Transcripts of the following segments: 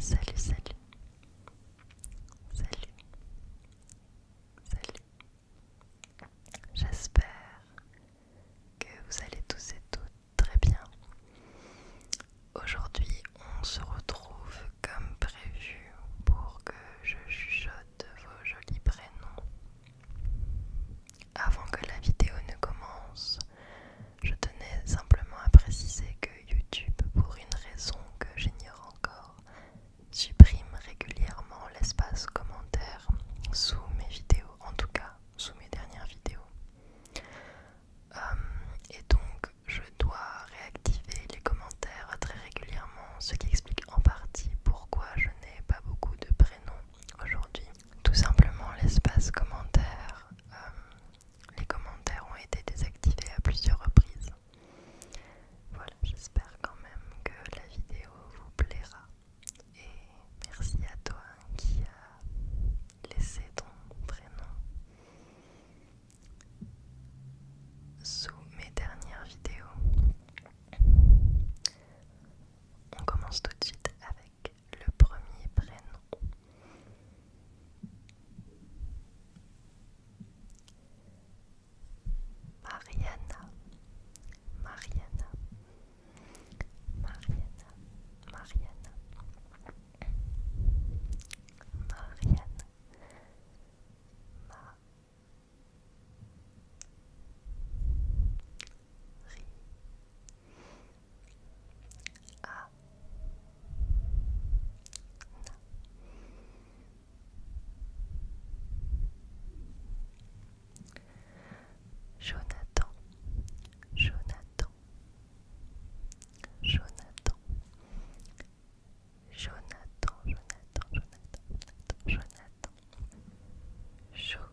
Salut, salut. Salut. Salut. J'espère que vous allez tous et toutes très bien. Aujourd'hui, on se retrouve comme prévu pour que je chuchote vos jolis prénoms. Avant que la vidéo ne commence, je tenais simplement à préciser que YouTube, pour une raison que j'ignore encore, supprime régulièrement l'espace commentaire sous mes vidéos, en tout cas sous mes dernières vidéos. Euh, et donc je dois réactiver les commentaires très régulièrement, ce qui explique en partie pourquoi je n'ai pas beaucoup de prénoms aujourd'hui. Tout simplement l'espace commentaire euh, les commentaires ont été désactivés à plusieurs reprises. Voilà, j'espère quand même que la vidéo vous plaira. Et merci à toi qui a laissé ton prénom sous mes dernières vidéos. On commence tout de suite avec le premier prénom. Mariana, Mariana, Mariana, Mariana, Mariana, Ma Ri, Jonathan, Jonathan, Jonathan, Jonathan, Jonathan, Jonathan, Jonathan, Jonathan,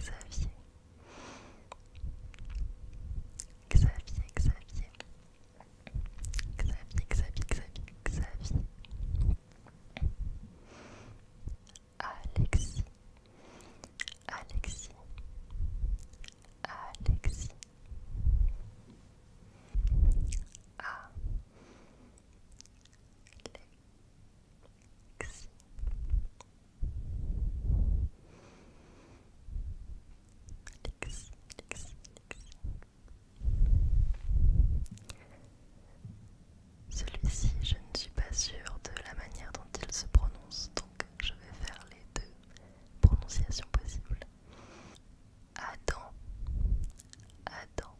Xavier. Xavier, Xavier. Xavier, Xavier, Xavier, Xavier. Alexis. Alexis. Alexis. A. Ah. Celui-ci, je ne suis pas sûre de la manière dont il se prononce, donc je vais faire les deux prononciations possibles. Adam, Adam,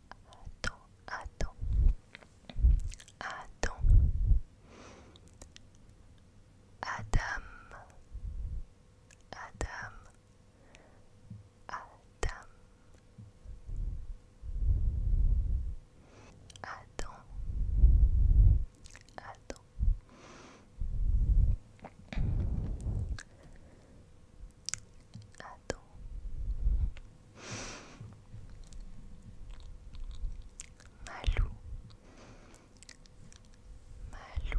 Attends, attends, attends. Adam, Adam, Adam. Adam, Adam. Attends. Malou. Malou. Ma. Malou,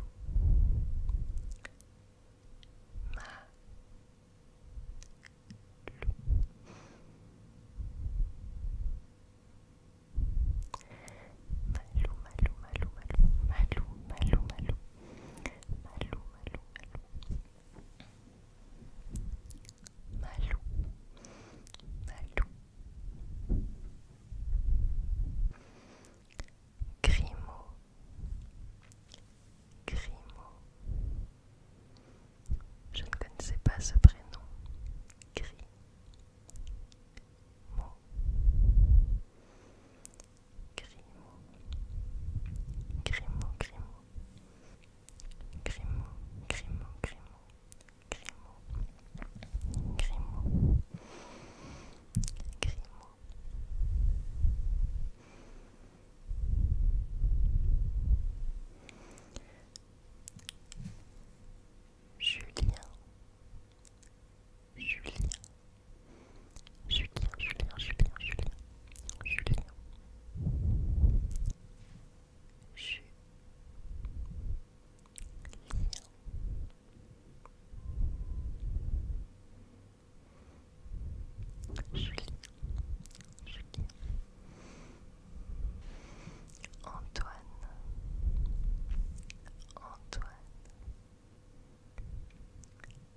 malou, malou, malou, malou, malou, malou, malou, malou, malou, malou, Malou, Malou, Grimaud, Grimaud. Je ne connaissais pas ce prénom. Grimaud, Grimaud, Grimaud, Grimaud, Grimaud, Grimaud, Grimaud, Grimaud, Grimaud, Grimaud. Julien, Julien, Julien, Julien, Julien, Julien, Julien. Julien. Antoine, Antoine,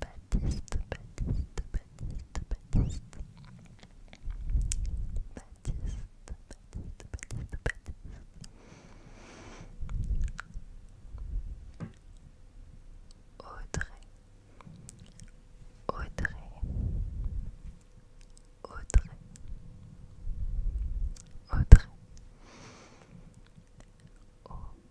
Baptiste, Baptiste, Baptiste, Baptiste. Baptiste, Baptiste, Baptiste, Baptiste. Audrey. Audrey. Audrey. Audrey. Audrey.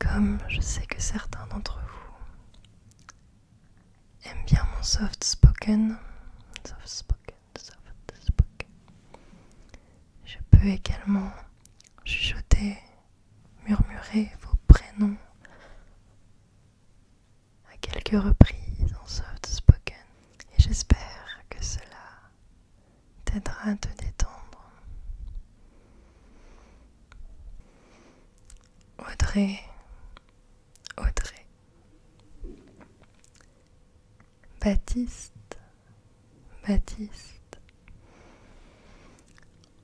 Comme je sais que certains d'entre vous aiment bien mon soft spoken, soft spoken, soft spoken, je peux également chuchoter, murmurer vos prénoms à quelques reprises en soft spoken et j'espère que cela t'aidera à te détendre. Audrey, Audrey, Baptiste, Baptiste,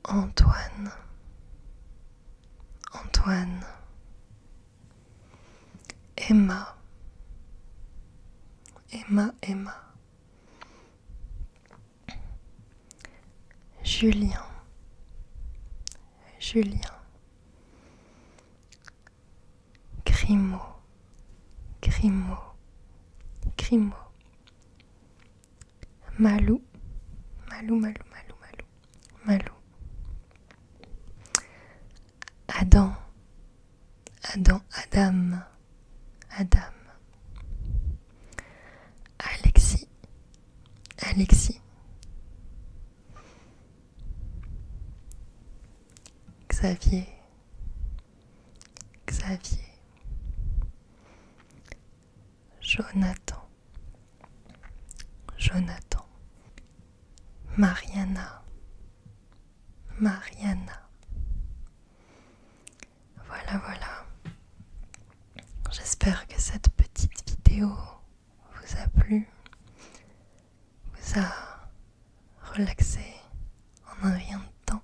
Antoine, Antoine, Emma, Emma, Emma. Julien, Julien. Grimaud, Grimaud, Grimaud. Malou, Malou, Malou, Malou, Malou, Malou. Adam, Adam, Adam, Adam. Alexis, Alexis. Xavier, Xavier. Jonathan, Jonathan. Mariana, Mariana. Voilà, voilà. J'espère que cette petite vidéo vous a plu, vous a relaxé en un rien de temps.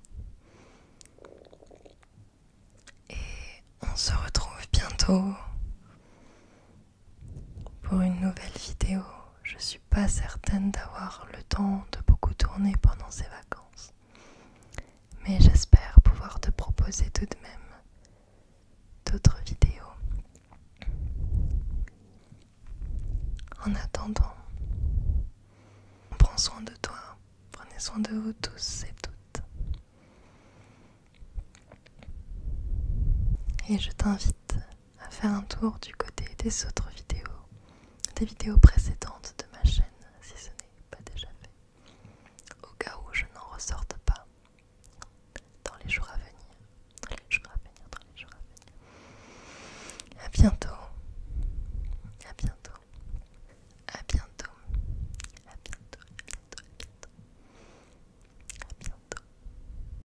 Et on se retrouve bientôt pour une nouvelle vidéo je suis pas certaine d'avoir le temps de beaucoup tourner pendant ces vacances. Mais j'espère pouvoir te proposer tout de même d'autres vidéos. En attendant, Prends soin de toi, prenez soin de vous tous et toutes. Et je t'invite à faire un tour du côté des autres vidéos, des vidéos précédentes de ma chaîne si ce n'est pas déjà fait, au cas où je n'en ressorte pas dans les jours à venir. Dans les jours à venir, dans les jours à venir. bientôt. À bientôt. À bientôt. À bientôt. À bientôt. À bientôt. À bientôt.